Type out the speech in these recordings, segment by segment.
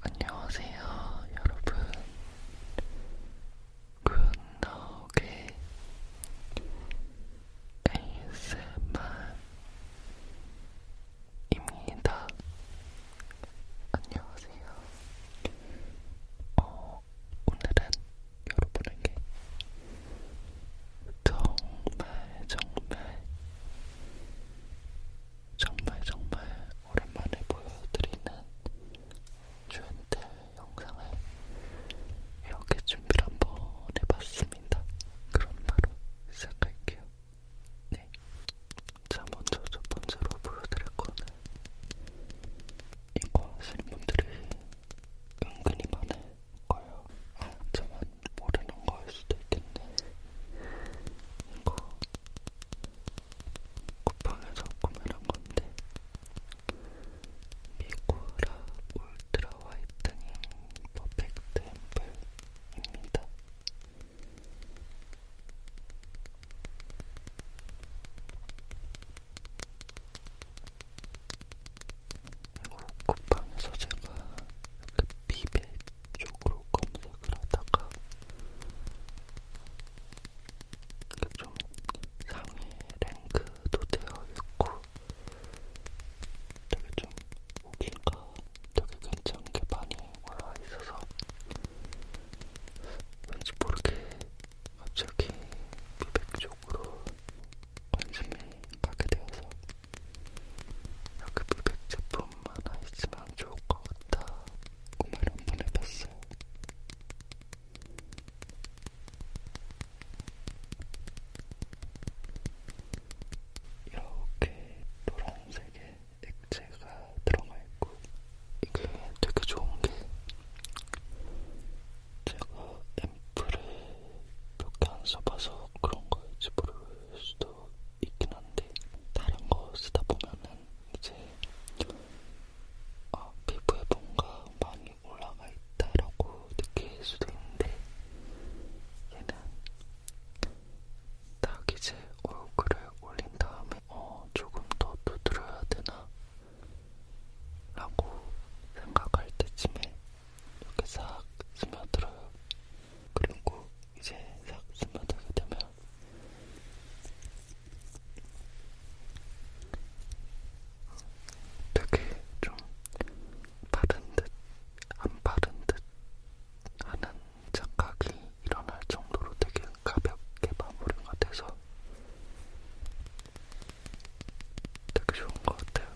안녕하세요, 여러분. 굿나오게 ASMR입니다. 안녕하세요. 어, 오늘은 여러분에게 정말 정말 정말 정말 오랜만에 보여드리는 주엔텔 영상을 이렇게 준비를 한번 해봤습니다. 그럼 바로 시작할게요. 네. 자, 먼저 첫 번째로 보여드릴 거는 이거 하시는 분들이 은근히 많을 거예요. 아, 저만 모르는 거일 수도 있겠네. 이거 쿠팡에서 구매한 건데 미구라 울트라 화이트닝 퍼펙트 앰플입니다. 이거 쿠팡에서 제가 그 비벨 쪽으로 검색을 하다가 그 좀 상위 랭크도 되어 있고 되게 좀 오기가 되게 괜찮게 많이 올라와 있어서 왠지 모르게 갑자기 미백 쪽으로 관심이 가게 되어서 이렇게 아, 그 미백 제품 하나 있으면 좋을 것 같다 꿈을 한번 해봤어요. 이렇게 노란색의 액체가 들어가 있고 이게 되게 좋은 게 제가 앰플을 몇개안 써봐서 그런 거일지 모를 수도 수도 있긴 한데 다른 거 쓰다 보면은 이제 어, 피부에 뭔가 많이 올라가 있다라고 느낄 수도 있는데 얘는 딱 이제 얼굴을 올린 다음에 어, 조금 더 두드려야 되나? 라고 생각할 때쯤에 이렇게 싹 스며들어요. 그리고 이제 싹 스며들게 되면 되게 좀 바른 듯 안 바른 듯 하는 착각이 일어날 정도로 되게 가볍게 마무리가 돼서 되게 좋은 것 같아요.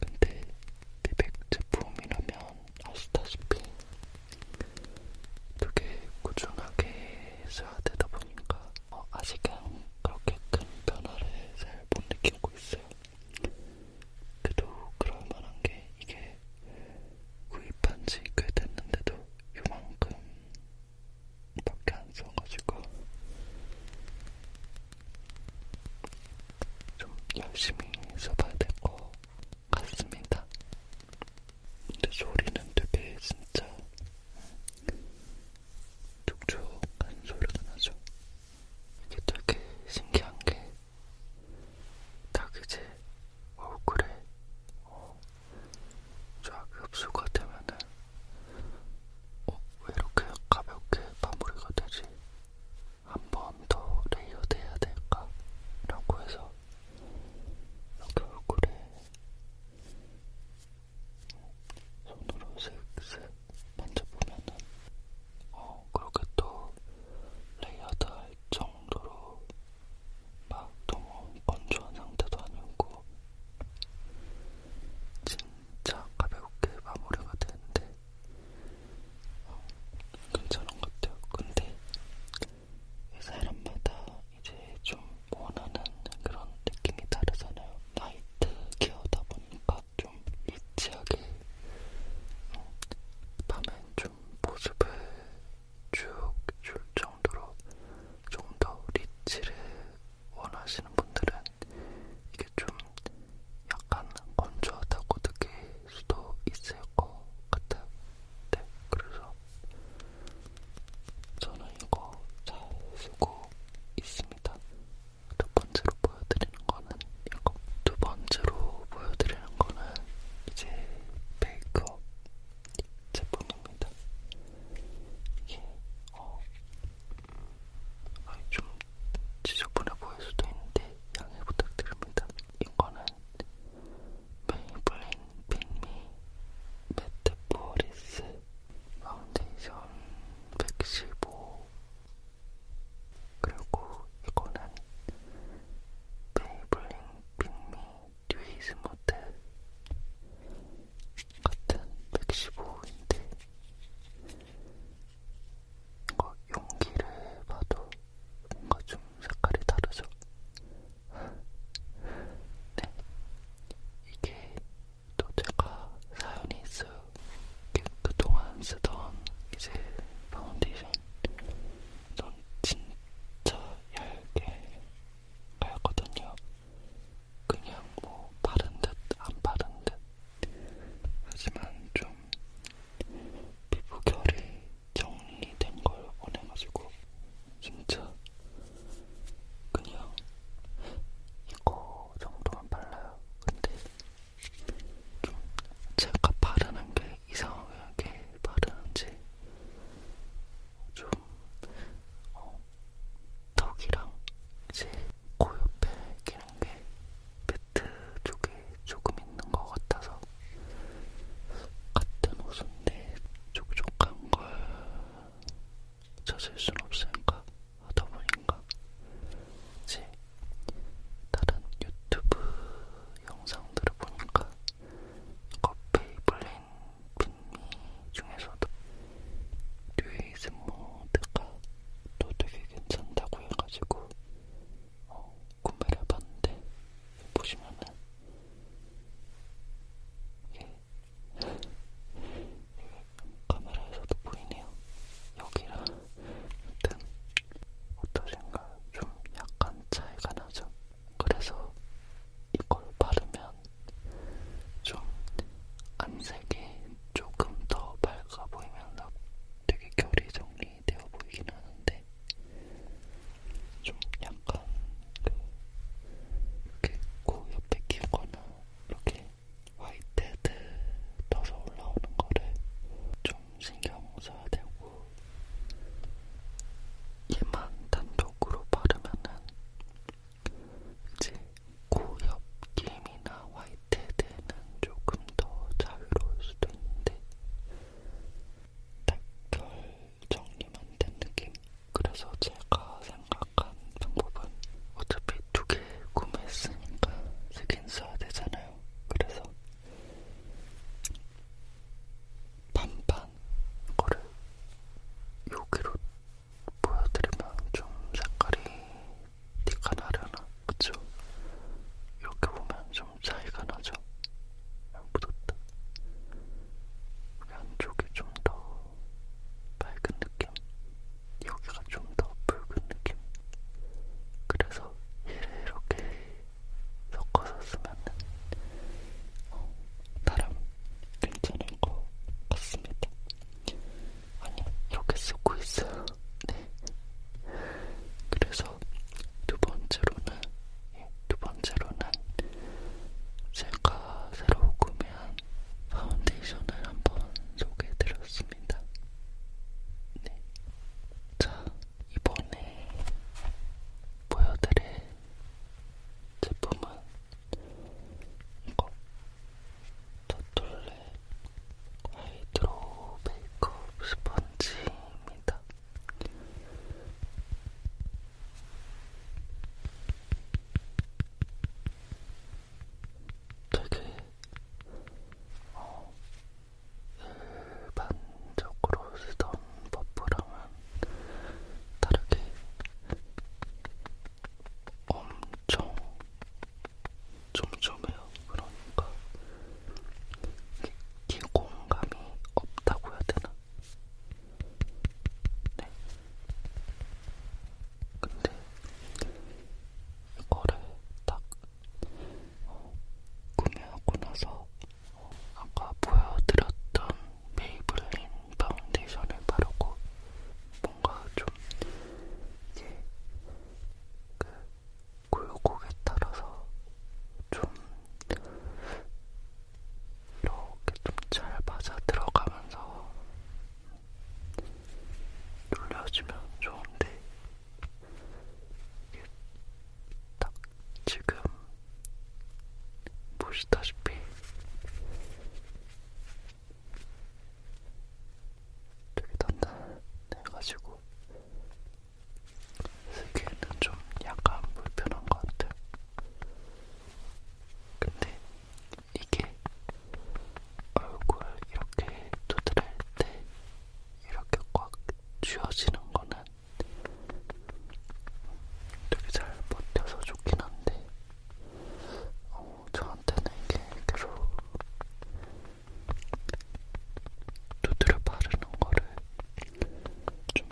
근데 미백 제품이라면 아시다시피 되게 꾸준하게 써야 되다 보니까 어, 아직은 그렇게 큰 변화를 잘 못 느끼고 있어요. 그래도 그럴 만한 게 이게 구입한 지꽤 됐는데도 요만큼밖에 안 써가지고 좀 열심히 써봐야 될 것 같습니다. 근데 소리는 되게 진짜 촉촉한 소리가 나죠. 이게 되게 신기한 게 딱 이제 얼굴에 어, 쫙 흡수가 되면은 어, 왜 이렇게 가볍게 마무리가 되지? 한번더 레이어드 해야 될까? 라고 해서 이렇게 얼굴에 손으로 슥슥 만져보면은 어, 그렇게 또 레이어드 할 정도로 막 너무 건조한 상태도 아니고 진짜 가볍게 마무리가 되는데 어, 괜찮은 것 같아요. 근데 사람마다 이제 좀 원하는 그런 느낌이 다르잖아요. 나이트 케어다 보니까 좀 리치하게 어, 밤엔 좀 모습을 쭉 줄 정도로 좀 더 리치를 원하시는 분들은 이게 좀 약간 건조하다고 느낄 수도 있을 것 같아요. 네, 그래서 저는 이거 잘 쓰고 있습니다. 두 번째로 보여드리는 거는 이거. 두 번째로 보여드리는 거는 이제 메이크업 제품입니다. 이게 어, 아니 좀 지저분해 보일 수도 있는데 양해 부탁드립니다. 이거는 메이블린 빈미 메테포리스 파운데이션 115 그리고 이거는 메이블린 빈미 듀이스모드 같은 115인데 뭔가 용기를 봐도 뭔가 좀 색깔이 다르죠? 네. 이게 또 제가 사연이 있어요. 그동안 쓰던 이제 파운데이션. 넌 진짜 얇게 갈거든요. 그냥 뭐 바른 듯안 바른 듯 하지만 좀 피부 결이 정리된 걸 원해가지고 진짜 그냥 이거 정도만 발라요. 근데 좀 제가 바르는 게 이상하게 바르는지 좀 어, 턱이랑 이제 코 옆에 끼는 게 매트 쪽에 조금 있는 것 같아서 같은 옷인데 촉촉한 걸 찾을 순 없으니까 하다 보니까 이제 다른 유튜브 영상들을 보니까 이거 페이블린 빈미 중에서도 류이즈 모드가 또 되게 괜찮다고 해가지고 어, 구매를 해봤는데 보시면은 이게 카메라에서도 보이네요. 여기랑 등 어떠신가요? 좀 약간 차이가 나죠? 그래서 이걸 바르면 좀 안색이 조금 더 밝아 보이면서 되게 결이 정리되어 보이긴 하는데 좀 약간 그 이렇게 코 옆에 끼거나 이렇게 화이트헤드 떠서 올라오는 거를 좀 신경 써야 되고 얘만 단독으로 바르면은 이제 코옆 김이나 화이트 나이트에 대해는 조금 더 자유로울 수도 있는데 딱결 정리만 된 느낌? 그래서 제가 생각한 방법은 어차피 두 개 구매했으니까 쓰긴 써야 되잖아요. 그래서 반반 거를 여기로 보여드리면 좀 색깔이 티가 나려나? 그쵸? 이렇게 보면 좀 차이가 나죠? 안 묻었다. 안쪽이 좀 더 밝은 느낌, 여기가 좀 더 붉은 느낌. 그래서 얘를 이렇게 섞어서 쓰면은 어, 나름 괜찮은 것 같습니다. 아니 이렇게 쓰고 있어요. 네. 그래서 두 번째로는 예, 두 번째로는 제가 새로 구매한 파운데이션을 한번 소개해드렸습니다. 네. 자 이번에 보여드릴 제품은 이거 도톨레 하이드로 메이크업 스펀지입니다. 되게 어, 일반적으로 쓰던 버프랑은 다르게 엄청 촘촘해요. 그러니까 기공감이 없다고 해야 되나? 네. 근데 이거를 딱 어, 구매하고 나서 어, 아까 보여드렸던 메이블린 파운데이션을 바르고 뭔가 좀 이게 그 굴곡에 따라서 좀 이렇게 좀 잘 맞아 들어가면서 눌려주면 좋은데 이게 딱 지금 보시다시피 되게 단단해가지고 쓰기에는 좀 약간 불편한 것 같아요. 근데 이게 얼굴 이렇게 두드릴 때 이렇게 꽉 쥐어지는 거는 되게 잘 버텨서 좋긴 한데 어, 저한테는 이게 계속 두드려 바르는 거를 좀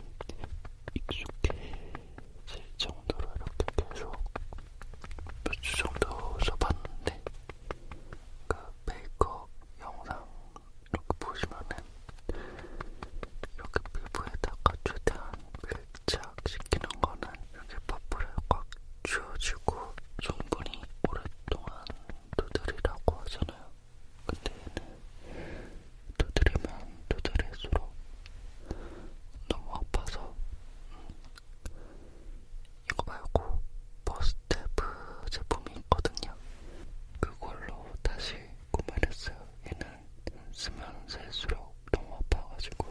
익숙해질 정도로 이렇게 계속 몇 주 정도 써봤는데 그 메이크업 영상 이렇게 보시면은 이렇게 피부에다가 최대한 밀착시키는 거는 이렇게 퍼프를 꽉 쉬워지고 성분이 오랫동안 두드리라고 하잖아요. 근데 얘는 두드리면 두드릴수록 너무 아파서 음, 이거 말고 버스테프 제품이 있거든요. 그걸로 다시 구매를 했어요. 얘는 쓰면 쓸수록 너무 아파가지고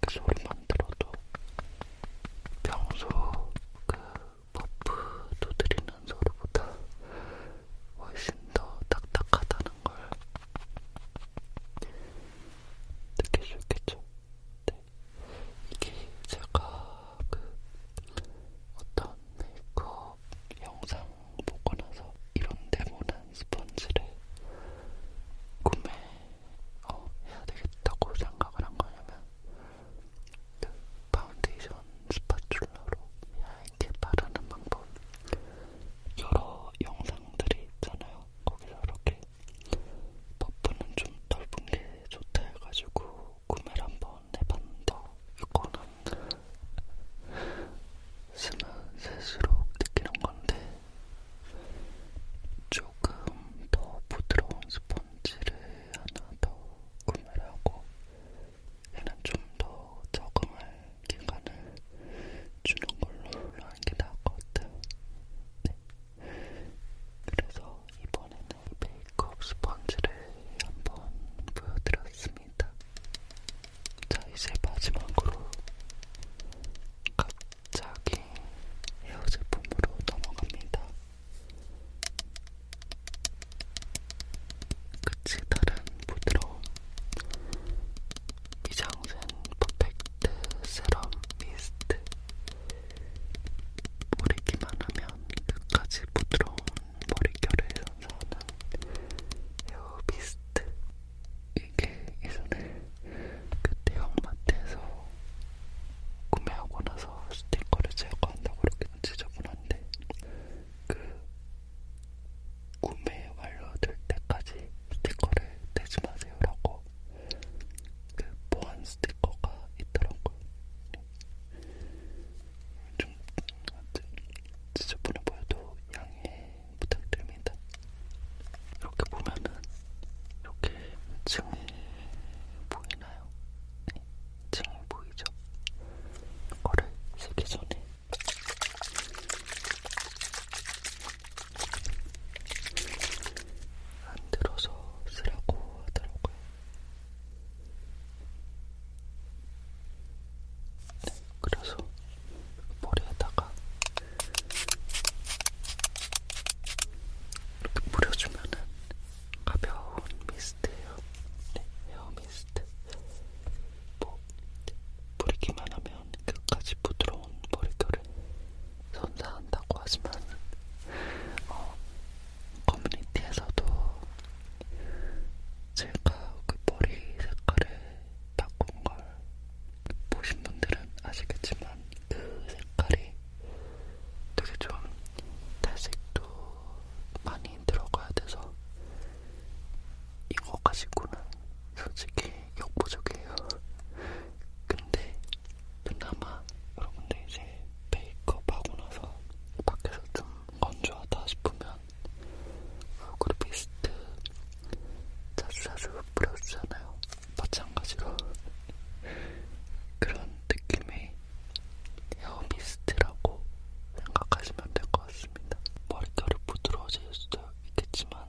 그 소리만 들어도 평소 그 버프 두드리는 소리보다 훨씬 더 딱딱하다는 걸 느낄 수 있겠죠? 네. 이게 제가 그 어떤 메이크업 영상 보고 나서 이런 데모는 스펀지를 구매 어, 해야 되겠다고 생각을 한 거냐면 그 파운데이션 스파츌러로 얇게 바르는 방법 여러 영상들이 있잖아요. 거기서 이렇게 퍼프는 좀 넓은 게 좋다 해가지고 구매를 한번 해봤는데 이거는 쓰면 쓸수록 느끼는 건데 조금 더 부드러운 스펀지를 하나 더 구매를 하고 얘는 좀 더 적응할 기간을 주는 걸로 하는 게 나을 것 같아요. 네. 그래서 이번에는 메이크업 스펀지를 한번 보여드렸습니다. 자, 이제 마지막으로 각 자기 헤어 제품으로 넘어갑니다. 끝이 다른 부드러움 미장센 퍼펙트 세럼 미스트 뿌리기만 하면 끝까지 부드러운 머릿결을 선사하는 헤어 미스트 이게 이 손을 그 대형마트에서 구매하고 나서 스티커를 제거한다고 이렇게 지저분한데 그 구매 완료될 때까지 스티커를 떼지 마세요라고 그 보안 스티커가 있더라고요. 좀 지저분해 보여도 양해 부탁드립니다. 이렇게 보면은 이렇게 층이 보이나요? 네, 층이 보이죠? 이거를 쓰기 전에 안 들어서 쓰라고 하더라고요. 네, 그래서 머리에다가 이렇게 뿌려주면은 가벼운 미스트예요. 네, 헤어 미스트. 뭐 뿌리기만 하면 끝까지 부드러운 머릿결을 선사한다고 하지만 어, 커뮤니티에서도 제가 그 머리 색깔을 바꾼 걸 보신 분들은 아시겠지만 그 색깔이 되게 좀 탈색도 많이 들어가야 돼서 이거 가지고는 솔직히 역부족이에요. 근데 그나마 여러분들 이제 메이크업 하고 나서 밖에서 좀 건조하다 싶으면 얼굴 미스트 자주자주 뿌려주잖아요. 마찬가지로 그런 느낌의 헤어미스트라고 생각하시면 될 것 같습니다. 머릿결이 부드러워질 수도 있겠지만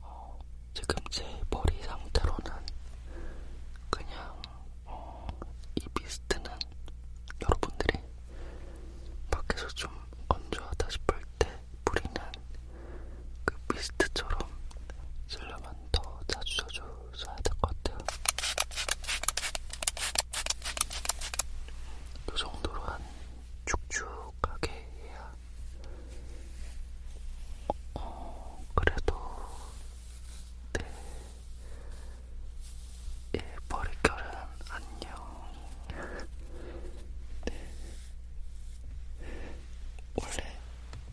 어, 지금 제 머리 상태로는 그냥 어, 이 미스트는 여러분들이 밖에서 좀 건조하다 싶을 때 뿌리는 그 미스트처럼 쓰려면 더 자주 자주 써야 될 것 같아요. 그 정도로 한 축축하게 해야 어, 그래도 내 네, 예, 머릿결은 안녕. 네. 원래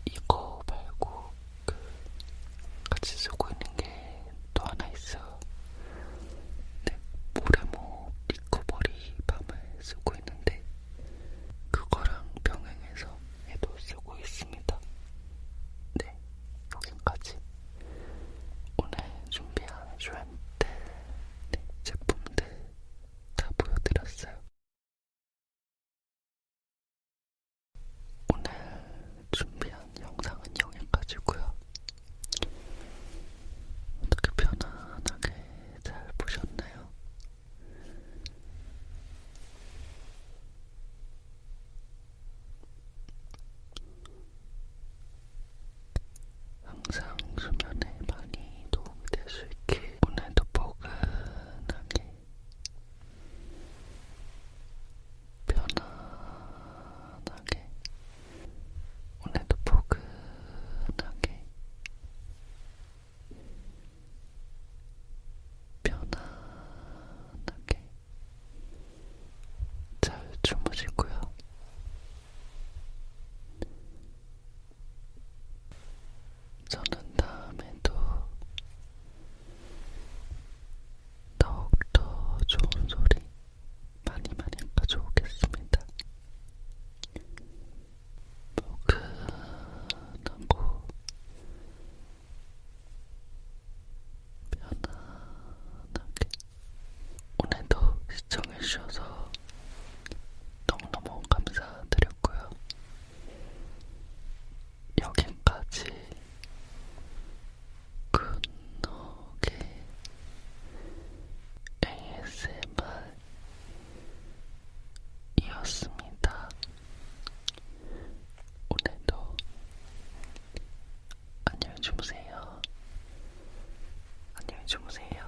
이거 말고 그 같이 쓰고 있는 게 또 하나 있어. 네, 모래모 뭐 리커버리 밤을 쓰고 있는데 그거랑 병행해서 얘도 쓰고 있습니다. 네, 여기까지 오늘 준비한 쇼앤들 네, 제품들 다 보여드렸어요. 오늘 준비한 영상은 여기까지고요. 어떻게 편안하게 잘 보셨나요? 항상 수면에 많이 도움이 될 수 있게 오늘도 포근하게 편안하게 오늘도 포근하게 편안하게 잘 주무시고요. 저는 다음에도 더욱더 좋은 소리 많이 많이 가져오겠습니다. 포근하고 편안하게 오늘도 시청해주셔서 너무너무 감사드렸고요. 여기까지 굿노게 ASMR이었습니다. 오늘도 안녕히 주무세요. 안녕히 주무세요.